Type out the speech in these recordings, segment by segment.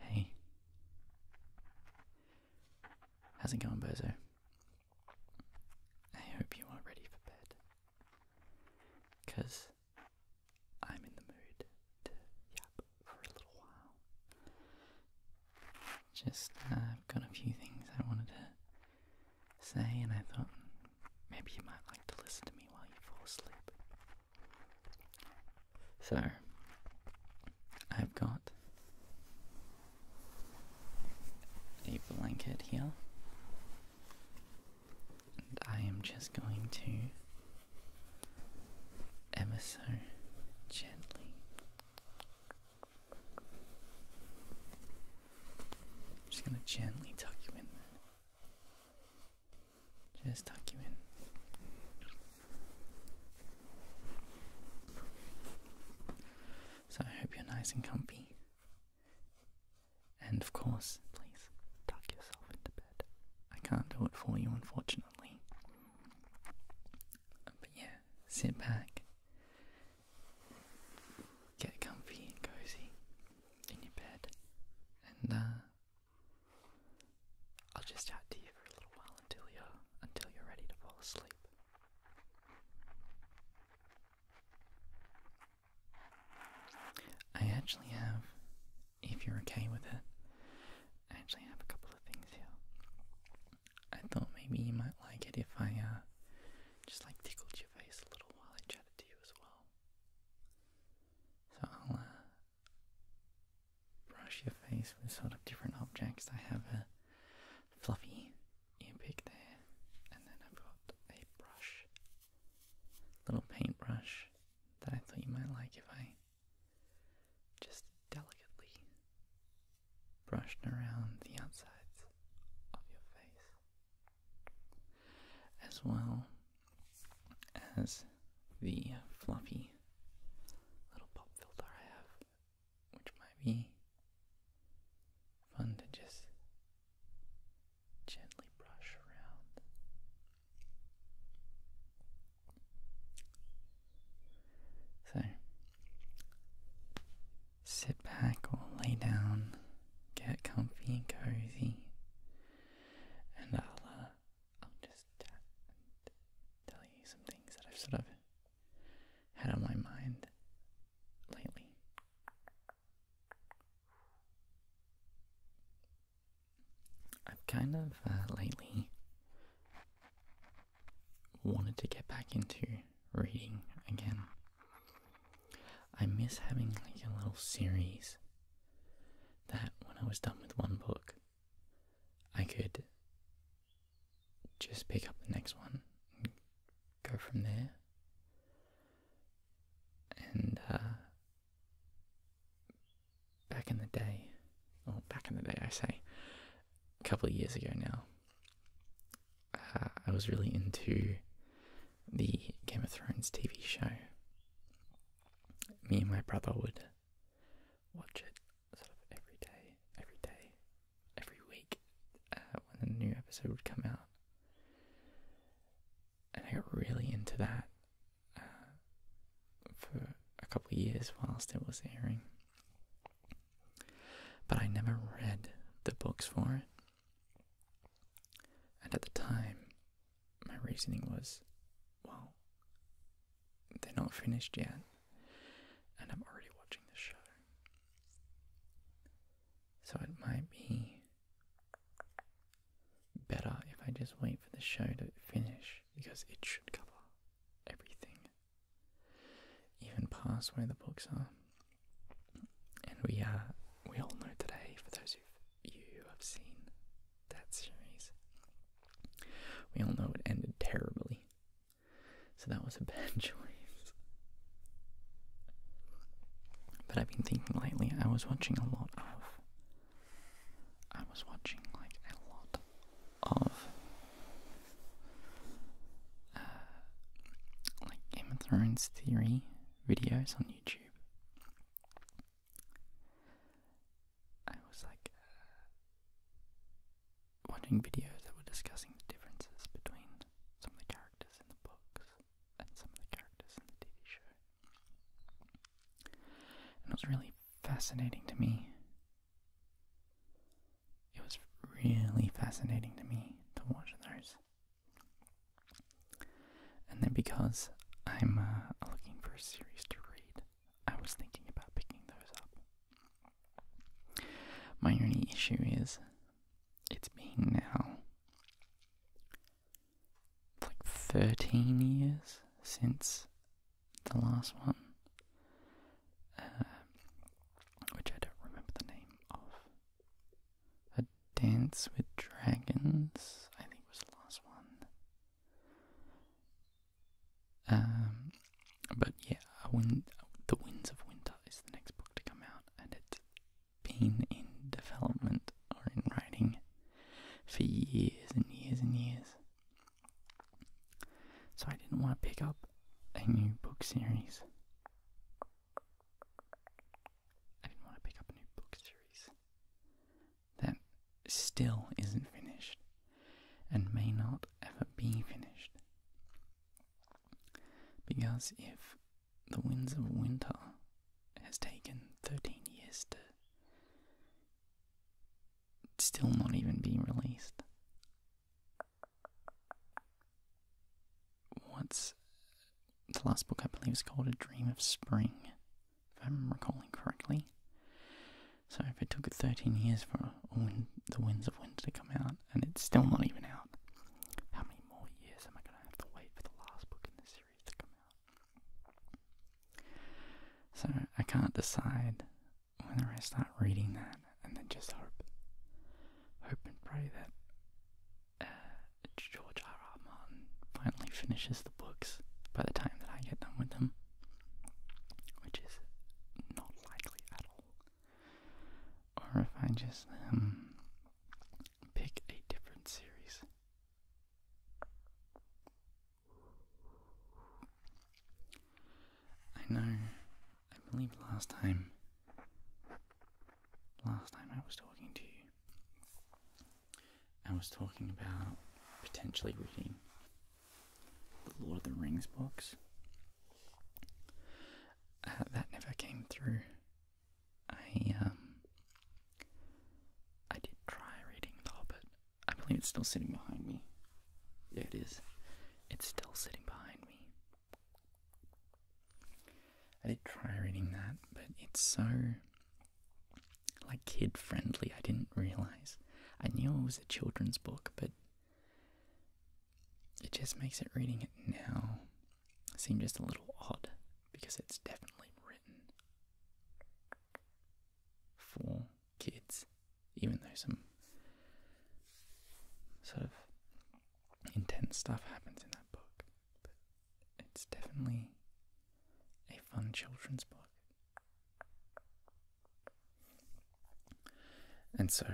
Hey. How's it going, Bozo? I hope you are ready for bed. Because I'm in the mood to yap for a little while. Just, uh, I've got a few things I wanted to say, and I thought maybe you might like to listen to me while you fall asleep. So, I've got a blanket here, and I am just going to ever so gently I'm just going to gently tuck you in Just tuck you in. So I hope you're nice and comfy. And of course, please tuck yourself into bed. I can't do it for you, unfortunately. But yeah, sit back, get comfy and cozy in your bed, and uh, I'll just chat to you for a little while until you're until you're ready to fall asleep. I actually have, if you're okay with it, I actually have a couple of things here. I thought maybe you might like it if I uh, just like tickled your face a little while I chatted to you as well. So I'll uh, brush your face with sort of different objects. I have a fluffy earpick there, and then I've got a brush, little paintbrush that I thought you might like if I just delicately brushed around the outsides of your face, as well as the fluffy little pop filter I have, which might be fun to just gently brush around. So, sit back or lay down, get comfy and cozy, and I'll, uh, I'll just uh, tell you some things that I've sort of had on my mind lately. I've kind of uh, lately wanted to get back into reading again. I miss having like a little series that when I was done with one book, I could just pick up the next one go from there. And uh, back in the day, oh, back in the day, I say, a couple of years ago now, uh, I was really into the Game of Thrones TV show. Me and my brother would watch it sort of every day, every day, every week uh, when a new episode would come out. And I got really into that uh, for a couple of years whilst it was airing. But I never read the books for it. And at the time, my reasoning was well, they're not finished yet, and I'm already watching the show. So it might be better if I just wait for the show to finish because it should cover everything even past where the books are. And we are, uh, we all know today, for those of you who have seen that series, we all know it ended terribly. So that was a bad choice. But I've been thinking lately, I was watching a lot of. I was watching like a lot of uh, like Game of Thrones theory videos on YouTube. I was like uh, watching videos that were discussing the differences between some of the characters in the books and some of the characters in the TV show. And it was really fascinating to me it was really fascinating to me to watch those. And then because I'm uh, looking for a series to read, I was thinking about picking those up. My only issue is it's been now like 13 years since the last one. Um, which I don't remember the name of. A Dance with Dragons, I think was the last one. Um, but yeah, The Winds of Winter is the next book to come out, and it's been in development or in writing for years and years and years. So I didn't want to pick up a new book series I didn't want to pick up a new book series that still isn't finished and may not ever be finished. Because if The Winds of Winter has taken 13 years to still not even be released, What's the last book I believe is called A Dream of Spring, if I'm recalling correctly. So if it took 13 years for the Winds of Winter to come out, and it's still not even out, how many more years am I going to have to wait for the last book in this series to come out? So I can't decide whenever I start reading that, and then just hope, hope and pray that uh, George R. R. Martin finally finishes the books by the time that I get done with them, which is not likely at all. Or if I just um, pick a different series. I know I believe last time, last time I was talking to you, I was talking about potentially reading the Lord of the Rings books. Uh, that never came through. I um, I did try reading The Hobbit. I believe it's still sitting behind me. Yeah, it is. It's still sitting behind me. I did try reading that, but it's so like kid friendly. I didn't realize. I knew it was a children's book, but it just makes it reading it now seem just a little odd because it's definitely written for kids, even though some sort of intense stuff happens in that book, but it's definitely a fun children's book. And so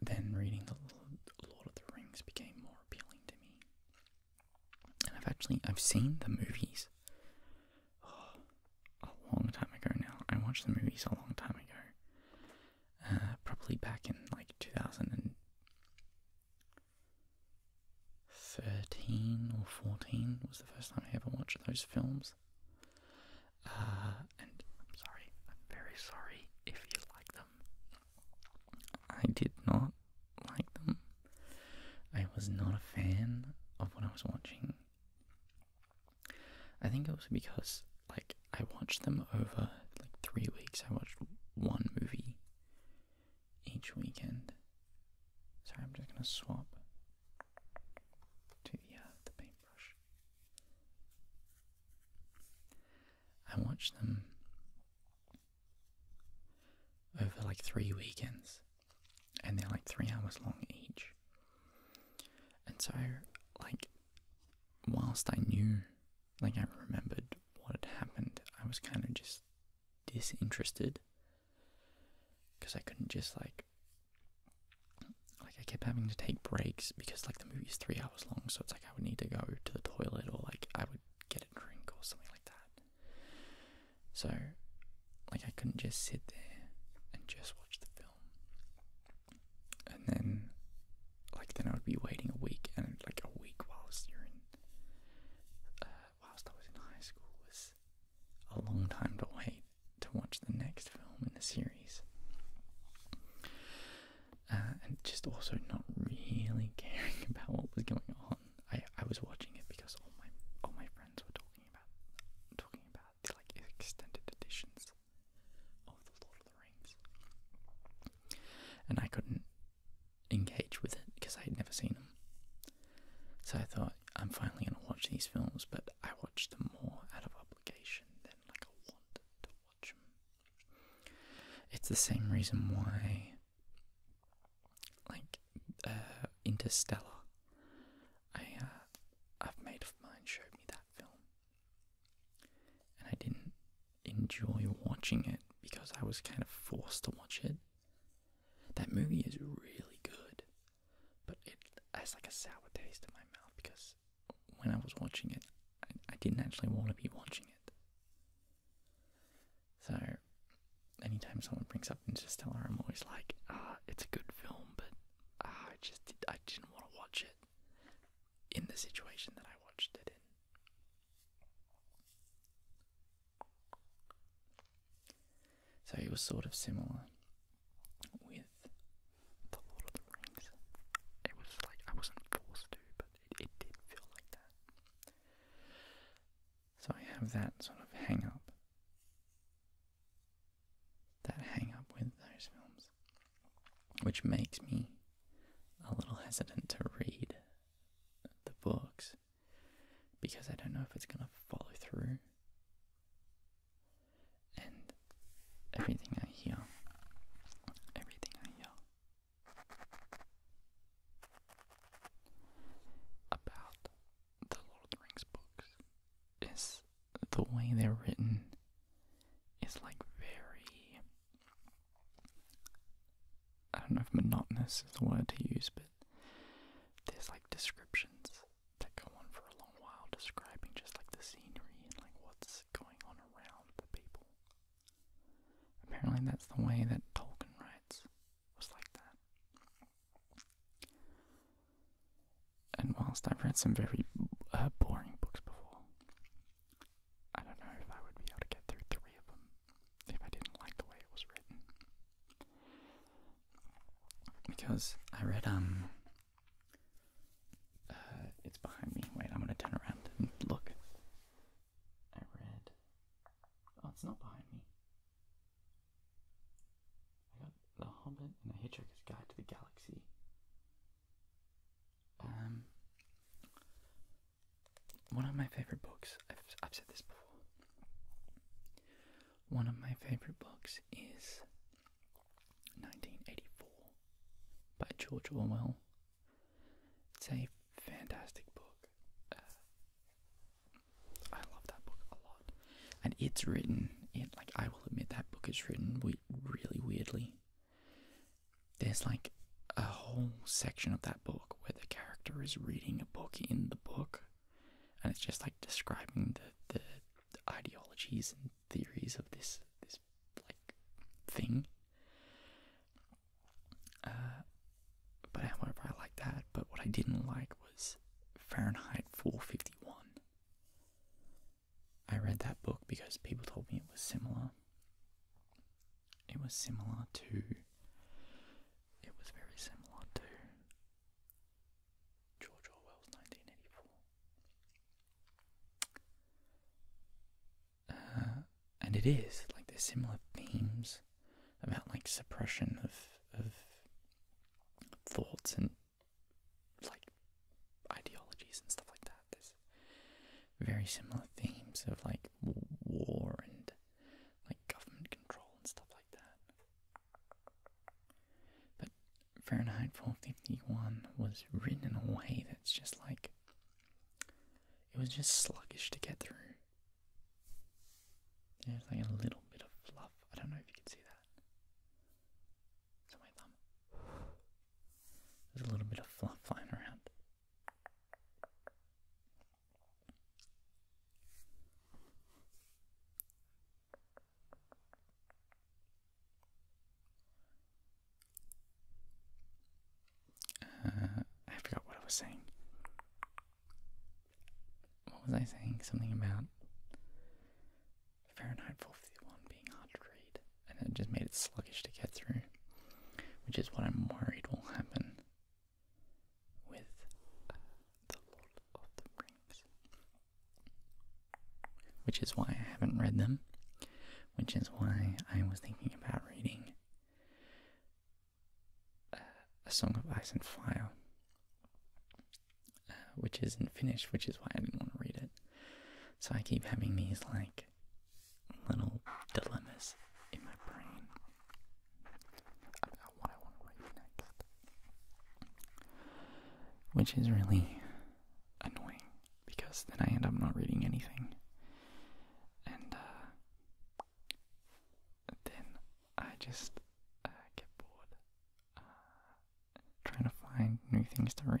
then reading the Lord of the Rings became more appealing to me. And I've actually I've seen the movies. Oh, a long time ago now. I watched the movies a long time ago. Uh, probably back in like 2013 or 14 was the first time I ever watched those films. Uh, and I'm sorry, I'm very sorry if you like them. I did not like them. I was not a fan of what I was watching. I think it was because like I watched them over like three weeks. I watched one movie each weekend. Sorry, I'm just gonna swap to the paintbrush. I watched them over like three weekends, and they're like three hours long each. And so, like, whilst I knew, like, I remembered what had happened, I was kind of just disinterested because I couldn't just, like, like, I kept having to take breaks because, like, the movie's three hours long, so it's like I would need to go to the toilet or, like, I would get a drink or something like that. So, like, I couldn't just sit there and just watch the film and then like then I would be waiting a week and like a week whilst you're in uh, whilst I was in high school was a long time to wait to watch the next film in the series. Uh, and just also not really caring about what was going on. I, I was watching it because all my all my friends were talking about talking about like extended editions of the Lord of the Rings. And I couldn't engage with it because I had never seen them. So I thought, I'm finally going to watch these films, but I watched them more out of obligation than like I wanted to watch them. It's the same reason why, like, uh, Interstellar. I uh, I've made mine showed me that film. And I didn't enjoy watching it because I was kind of forced to watch it. That movie is really good, but it has like a sour taste in my mouth because when I was watching it, I, I didn't actually want to be watching it. So, anytime someone brings up Interstellar, I'm always like, ah, it's a good film, but Ah, I just did, I didn't want to watch it in the situation that I watched it in. So it was sort of similar with The Lord of the Rings. It was like I wasn't forced to, but it, did feel like that. So I have that sort of hang up that hang up with those films, which makes me a little hesitant to read the books because I don't know if it's going to follow through. And everything I hear, everything I hear about the Lord of the Rings books is the way they're written is like very. I don't know if monotonous is the word to use, but there's like descriptions that go on for a long while describing just like the scenery and like what's going on around the people. Apparently, that's the way that Tolkien writes, was like that. And whilst I've read some very uh, boring books before, I don't know if I would be able to get through three of them if I didn't like the way it was written. Because I read, um, uh, it's behind me. Wait, I'm gonna turn around and look. I read. Oh, it's not behind me. I got The Hobbit and The Hitchhiker's Guide to the Galaxy. Um, one of my favorite books. I've i said this before. One of my favorite books is 1984 by George Orwell. It's a fantastic book. Uh, I love that book a lot and it's written it like I will admit that book is written really weirdly. There's like a whole section of that book where the character is reading a book in the book, and it's just like describing the the, ideologies and theories of this this like thing. Uh, but however, I like that. But what I didn't like was Fahrenheit 451. I read that book because people told me it was similar. It was similar to. It was very similar to George Orwell's 1984. Uh, and it is. Like, there's similar themes about, like, suppression of, of thoughts and like ideologies and stuff like that. There's very similar themes of like war and like government control and stuff like that. But Fahrenheit 451 was written in a way that's just like it was just sluggish to get through. There's like a little bit of fluff. I don't know if you can see that that. my thumb. There's a little bit of fluff flying around. Uh, I forgot what I was saying. What was I saying? Something about Fahrenheit 451 being hard to read, and it just made it sluggish to get through, which is what I'm worried will happen with The Lord of the Rings, which is why I haven't read them, which is why I was thinking about reading uh, A Song of Ice and Fire which isn't finished, which is why I didn't want to read it. So I keep having these like little dilemmas in my brain about what I want to write next, which is really annoying because then I end up not reading anything, and uh, then I just uh, get bored trying to find new things to read.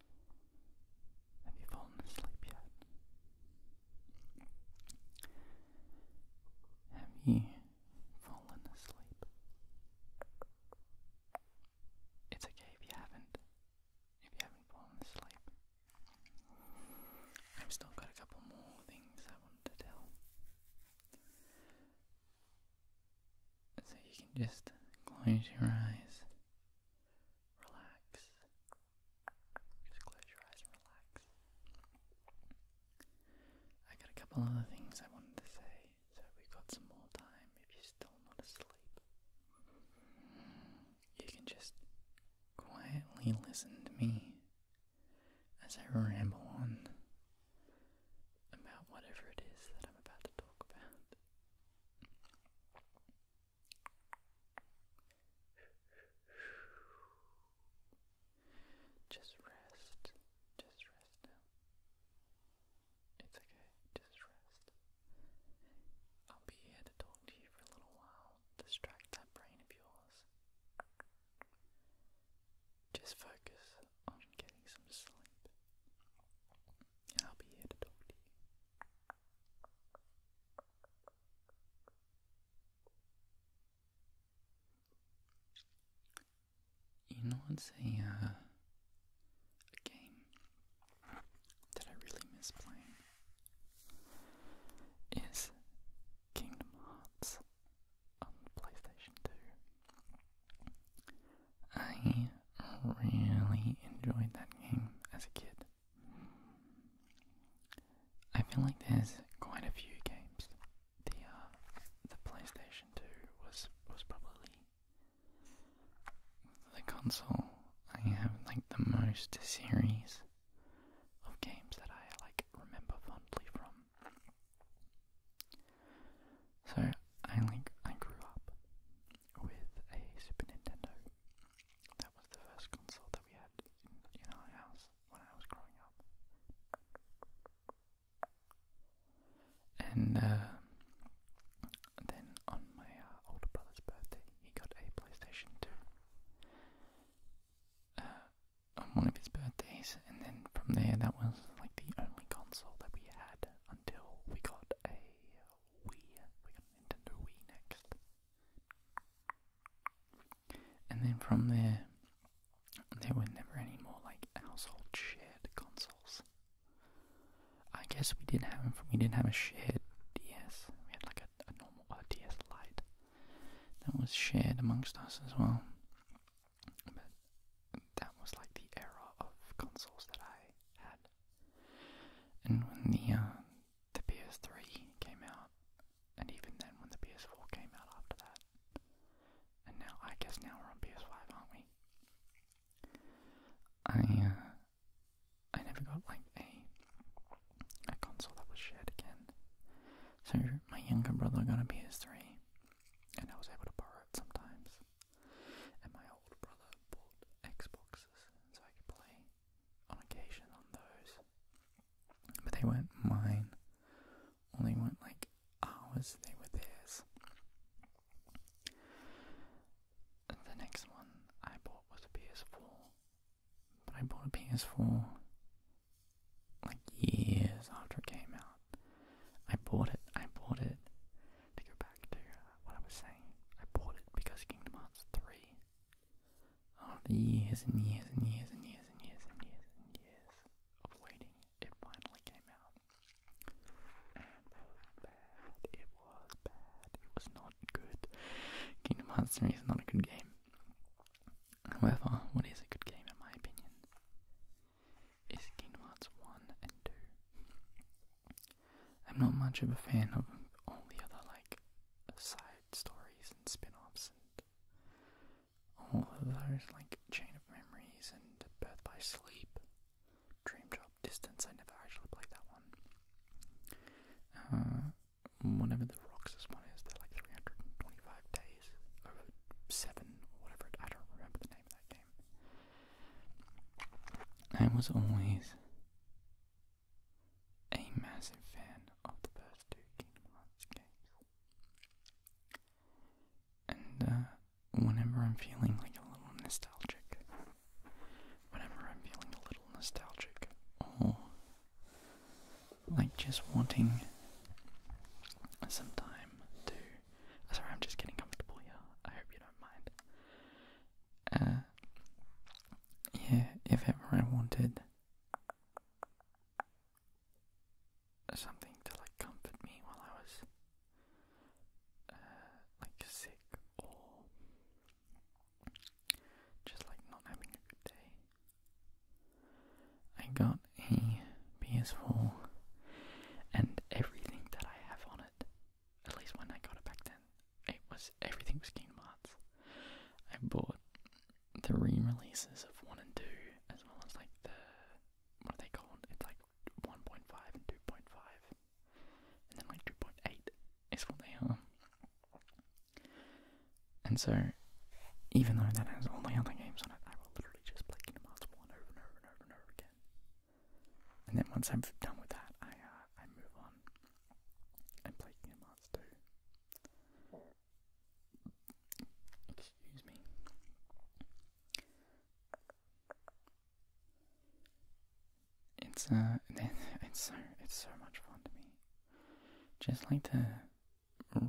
Have you fallen asleep yet? Have you fallen asleep? It's okay if you haven't. If you haven't fallen asleep. I've still got a couple more things I wanted to tell. So you can just close your eyes relax. Just close your eyes and relax. I got a couple other things I wanted to say, so we've got some more time. If you're still not asleep, you can just quietly listen to me as I ramble on about whatever it is that I'm about to talk about. Just rest. Just rest It's okay. Just rest. I'll be here to talk to you for a little while. Distract that brain of yours. Just focus on getting some sleep. I'll be here to talk to you. You know, it's uh, a game that I really miss playing is Kingdom Hearts on PlayStation 2. I really enjoyed that game as a kid. I feel like there's quite a few games. The uh, the PlayStation 2 was was probably the console I have like the most series of games that I like remember fondly from. So I like I grew up with a Super Nintendo. That was the first console that we had in, our house when I was growing up. And uh, then on my uh, older brother's birthday, he got a PlayStation 2 uh, on one of his birthdays, and then from there, that was like the only console that we had until we got a Wii. We got Nintendo Wii next. And then from there, there were never any more like household shared consoles. I guess we did have we didn't have a shared DS. We had like a, a normal DS Lite that was shared amongst us as well. But that was like the era of consoles that I had and when the uh, the PS3 came out, and even then when the PS4 came out after that, and now I guess now we're on PS5, aren't we? I uh, I never got like a a console that was shared again. So my younger brother got a PS3, and I was able to borrow it sometimes and my older brother bought Xboxes so I could play on occasion on those. But they weren't mine. Only were like ours, they were theirs. The next one I bought was a PS4. But I bought a PS4 like years after it came out. I bought it, I bought it, to go back to uh, what I was saying, I bought it because Kingdom Hearts 3, after oh, years and years and years and years and years and years and years of waiting, it finally came out. And it was bad, it was bad, it was not good. Kingdom Hearts 3 is not a good game. However, what is a good game in my opinion? is 1 and 2. I'm not much of a fan of all the other, like, side stories and spin offs and all of those, like, Chain of Memories and Birth by Sleep, Dream Job Distance. I never actually played that one. Uh, whenever the rocks, Roxas one is, they're like 325 days over 7 or whatever, I don't remember the name of that game. I was always a massive fan of the first two games. And uh, whenever I'm feeling like a little nostalgic, whenever I'm feeling a little nostalgic, or like just wanting some time to Sorry, I'm just getting comfortable here. I hope you don't mind. Uh, yeah, if ever I wanted something to like comfort me while I was uh, like sick or just like not having a good day, I got a PS4 and everything that I have on it at least when I got it back then, it was everything was Kingdom Hearts. I bought three releases of one and two, as well as like the what are they called? It's like 1.5 and 2.5, and then like 2.8 is what they are. And so, even though that has all the other games on it, I will literally just play Kingdom Hearts one over and over and over again. And then once I'm done with that, I uh, I move on and play Kingdom Hearts 2. Excuse me. It's uh, it's so it's so much fun to me. Just like the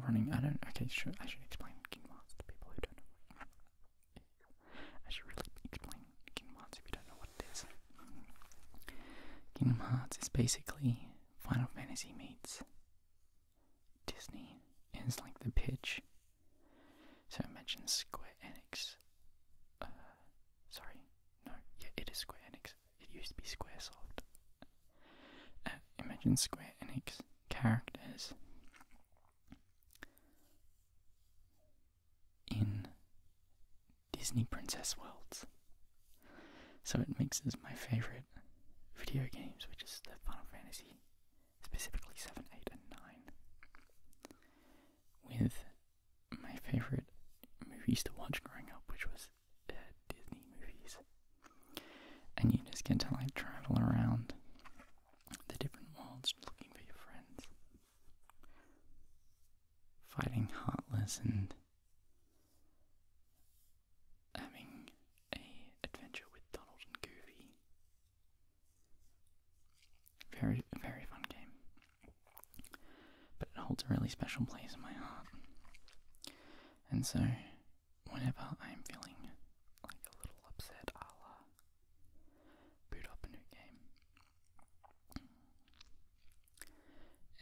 running. I don't. Okay, sure. I should explain Kingdom Hearts to people who don't I should really explain Kingdom Hearts if you don't know what it is. Kingdom Hearts is basically Final Fantasy meets Disney, and it's like the pitch. So imagine Square Enix. Uh, sorry, no, yeah, it is Square Enix. It used to be Squaresoft. Uh, imagine Square Enix characters in Disney Princess Worlds. So it mixes my favorite video games, which is the Final Fantasy, specifically 7, 8, and 9, with my favorite movies to watch growing up, which was uh, Disney movies. And you just get to like travel around the different worlds looking for your friends fighting Heartless and having a adventure with Donald and Goofy. Very, very fun game. But it holds a really special place in my heart. And so, whenever I'm feeling like a little upset, I'll boot up a new game.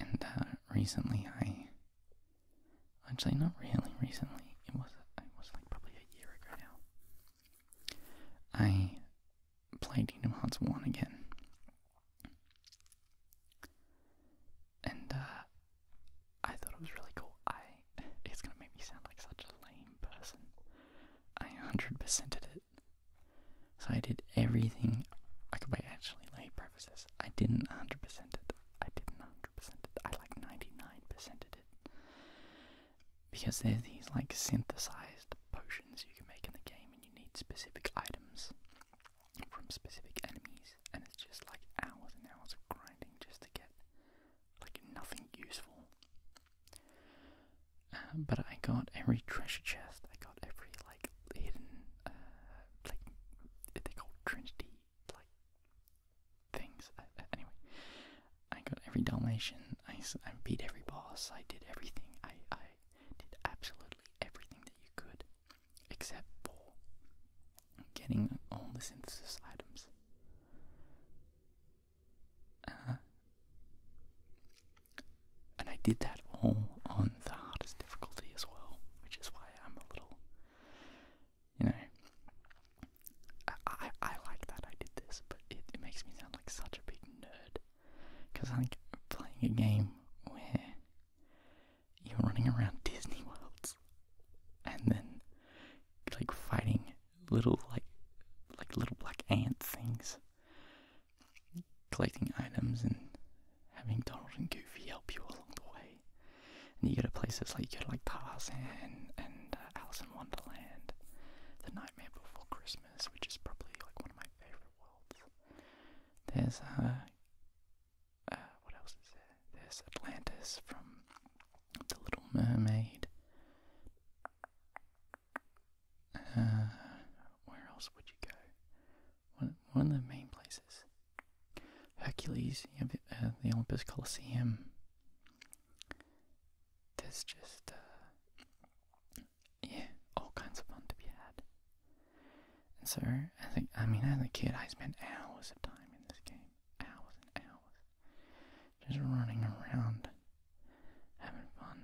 And recently I, actually not really recently, it was, it was like probably a year ago now, I played Kingdom Hearts 1 again. And uh, I thought it was really cool. I, it's gonna make me sound like such a lame person. I 100% did it. So I did everything. I could wait, actually, lay prefaces. I didn't 100% it. I didn't 100% it. I like 99% it. Because there's these like synthesized potions you can make in the game, and you need specific items from specific enemies, and it's just like hours and hours of grinding just to get like nothing useful. Uh, but I got every treasure chest. I got every like hidden, uh, like they call trinity like things. Uh, anyway, I got every Dalmatian. I, I beat every boss. I did everything. I I did absolutely everything that you could, except for getting all the synthesis items. Uh, and I did that all on the hardest difficulty as well, which is why I'm a little, you know, I, I, like that I did this, but it, makes me sound like such a big nerd. Because I am playing a game where you're running around Disney worlds and then like fighting little like like little black ant things, collecting items and having Donald and Goofy help you along the way. And you get a place that's like you get like Tarzan and uh, Alice in Wonderland, The Nightmare Before Christmas, which is probably like one of my favorite worlds. There's uh, uh what else is there? There's Atlantis from The Little Mermaid. Uh, where else would you go? One, one of the main places. Hercules, uh, the Olympus Coliseum. There's just, uh, yeah, all kinds of fun to be had. And so, think—I mean, as a kid, I spent hours of time in this game. Hours and hours just running around, having fun.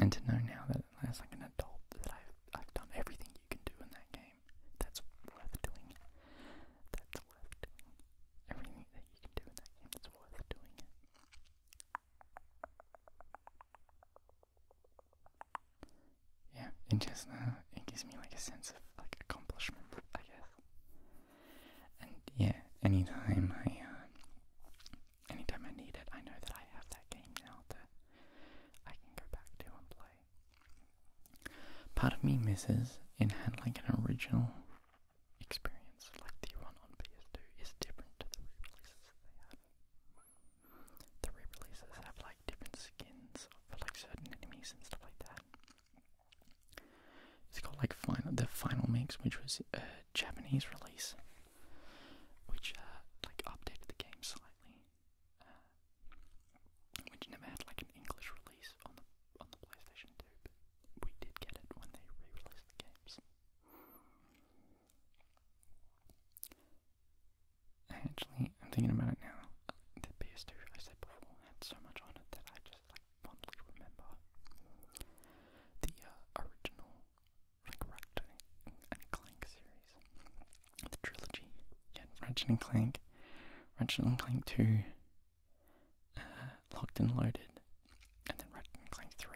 And to know now that as like an adult that I've I've done everything you can do in that game that's worth doing. That's worth Everything that you can do in that game that's worth doing. Yeah, it just uh, it gives me like a sense of like accomplishment, I guess. And yeah, anytime I, uh, anytime I need it, I know that I have that game now that I can go back to and play. Part of me misses in handling an original experience like the one on PS2 is different to the re-releases that they have. The re-releases have like different skins for like certain enemies and stuff like that. It's called like the final mix, which was a Japanese release, which uh, like updated the game slightly, uh, which never had like an English release on the on the PlayStation Two, but we did get it when they re-released the games. Actually, I'm thinking about it now. The PS2, I said before, had so much on it that I just like fondly remember. The uh, original, like Ratchet and Clank series, the trilogy, yeah, Ratchet and Clank, Ratchet and Clank 2, uh, Locked and Loaded, and then Ratchet and Clank 3,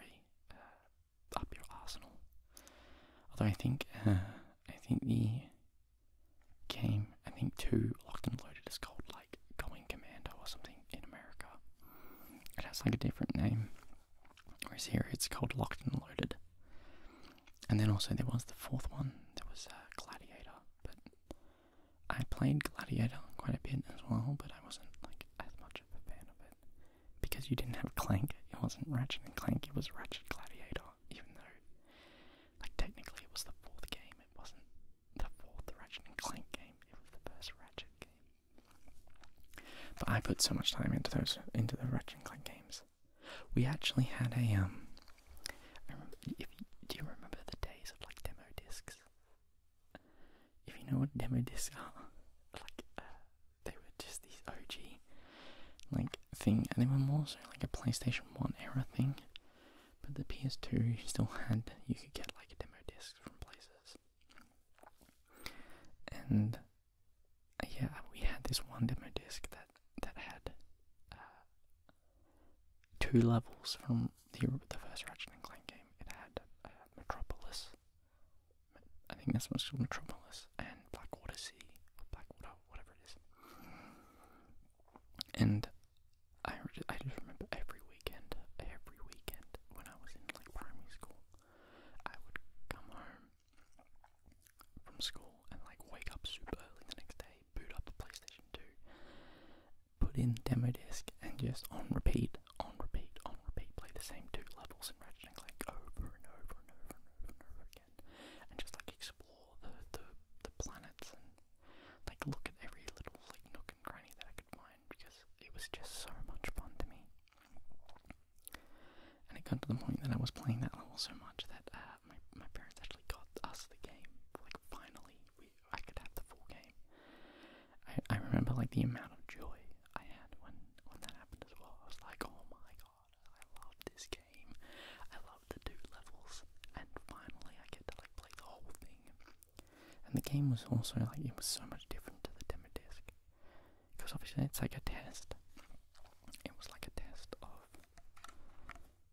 uh, Up Your Arsenal. Although I think, uh, I think the game, I think 2, Locked and Loaded is called like Going Commando or something in America. It has like a different name, whereas here it's called Locked and Loaded. And then also there was the fourth one. There was uh, Gladiator, but I played Gladiator quite a bit as well, but I wasn't like as much of a fan of it because you didn't have Clank. It wasn't Ratchet and Clank. It was Ratchet Gladiator, even though like technically it was the fourth game. It wasn't the fourth Ratchet and Clank game. It was the first Ratchet game. But I put so much time into those into the Ratchet and Clank games. We actually had a um. do you remember the days of like demo discs? If you know what demo disc, are, like uh, they were just these OG like thing, and they were more so like a PlayStation One era thing. But the PS2 still had, you could get like a demo disc from places. And yeah, we had this one demo disc that, that had uh, two levels from the, the first Ratchet and Clank game. It had uh, Metropolis, I think that's what's called Metropolis, and Blackwater Sea, Black Blackwater, whatever it is. And I just, I just remember every weekend, every weekend when I was in like primary school, I would come home from school and like wake up super early the next day, boot up the PlayStation 2, put in demo disc, and just on repeat, on repeat, on repeat, play the same two levels in Ratchet and Clank over and over and over and over and over again, and just like explore the the, the planets and like look at every little like nook and cranny that I could find because it was just so much fun to me. And it got to the point that I was playing that level so much that uh, my my parents actually got us the game. Like finally, we I could have the full game. I I remember like the amount of joy I had when when that happened as well. I was like, oh my god, I love this game. I love the two levels, and finally I get to like play the whole thing. And the game was also like it was so much different to the demo disc because obviously it's like a test. It was like a test of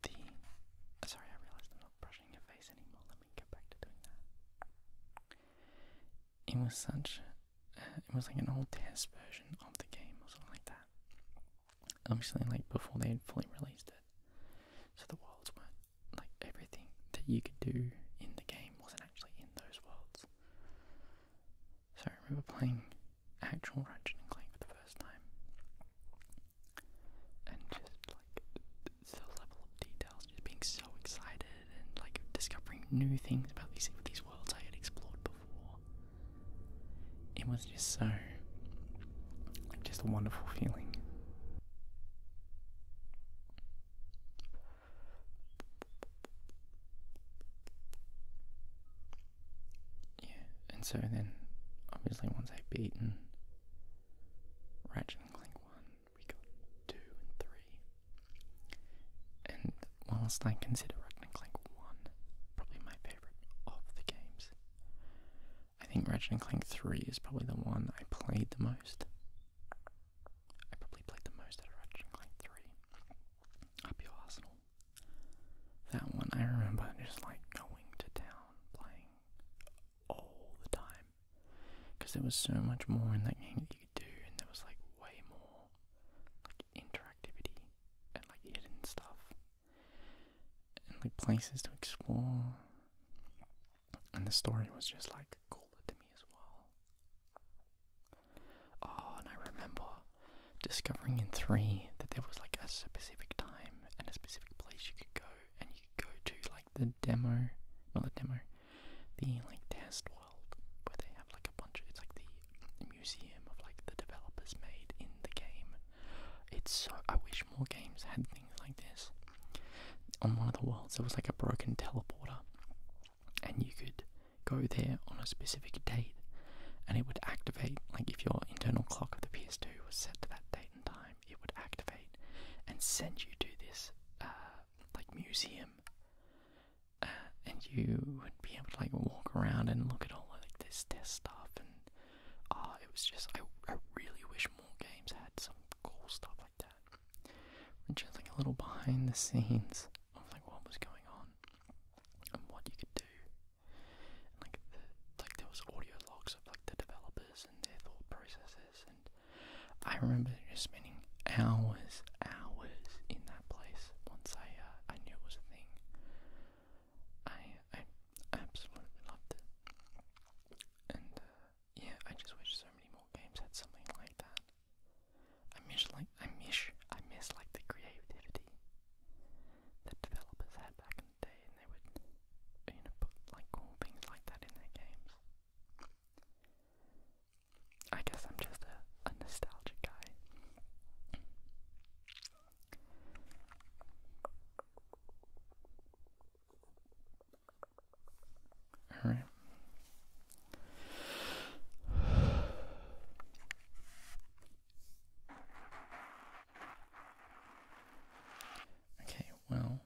the. Oh, sorry, I realised I'm not brushing your face anymore. Let me get back to doing that. It was such. it was like an old test version of the game or something like that. Obviously, like before they had fully released it, so the worlds weren't like everything that you could do in the game wasn't actually in those worlds. So I remember playing actual Ratchet and Clank for the first time, and just like the level of details, just being so excited and like discovering new things about these these worlds I had explored before. It was just so like just a wonderful feeling. Yeah, and so then obviously once I've beaten Ratchet and Clank 1, we got 2 and 3. And whilst I consider Ratchet and Clank 1 probably my favourite of the games, I think Ratchet and Clank 3 is probably the one I played the most. I probably played the most out Ratchet and Clank 3. Up arsenal. That one I remember just like going to town playing all the time. Because there was so much more in that game that you could do, and there was like way more like interactivity and like hidden stuff and like places to explore. And the story was just like cool to me as well. Oh, and I remember discovering in three that there was like a specific time and a specific place you could go, and you could go to like the demo, not the demo, the like test world where they have like a bunch of it's like the museum of like the developers made in the game. It's so I wish more games had things like this on one of the worlds there was like a broken teleporter and you could go there on a specific date and it would activate like if your internal clock of the PS2 was set to that date and time it would activate and send you to this uh, like museum uh, and you would be able to like walk around and look at all like this test stuff and uh, it was just, I, I really wish more games had some cool stuff like that. And just like a little behind the scenes of like what was going on and what you could do. like, the, like there was audio logs of like the developers and their thought processes. And I remember just spending hours, hours in that place once I, uh, I knew it was a thing. I, I absolutely loved it. And, uh, yeah, I just wish so many more games had something like that. I miss like I miss I miss like the creativity that developers had back in the day, and they would you know put like all things like that in their games. I guess I'm just a, a nostalgic guy. All right. Okay, well,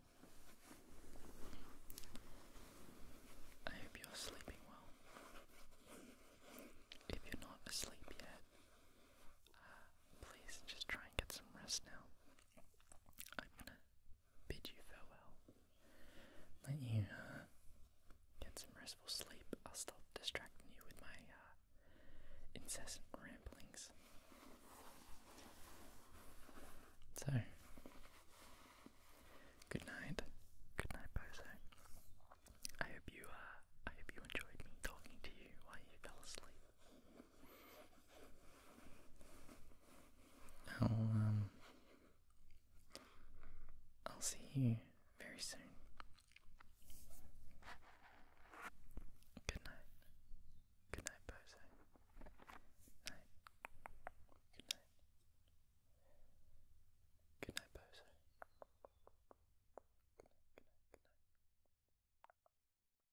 I hope you're sleeping well. If you're not asleep yet, uh, please just try and get some rest now. I'm gonna bid you farewell. Let you uh, get some restful sleep. I'll stop distracting you with my uh, incessant ramblings. So, good night. Good night, Bozo. I hope you uh, I hope you enjoyed me talking to you while you fell asleep. I'll um I'll see you very soon. Good night. Good night, Bozo. Night. Good night. Good night, Bozo. good night, good night.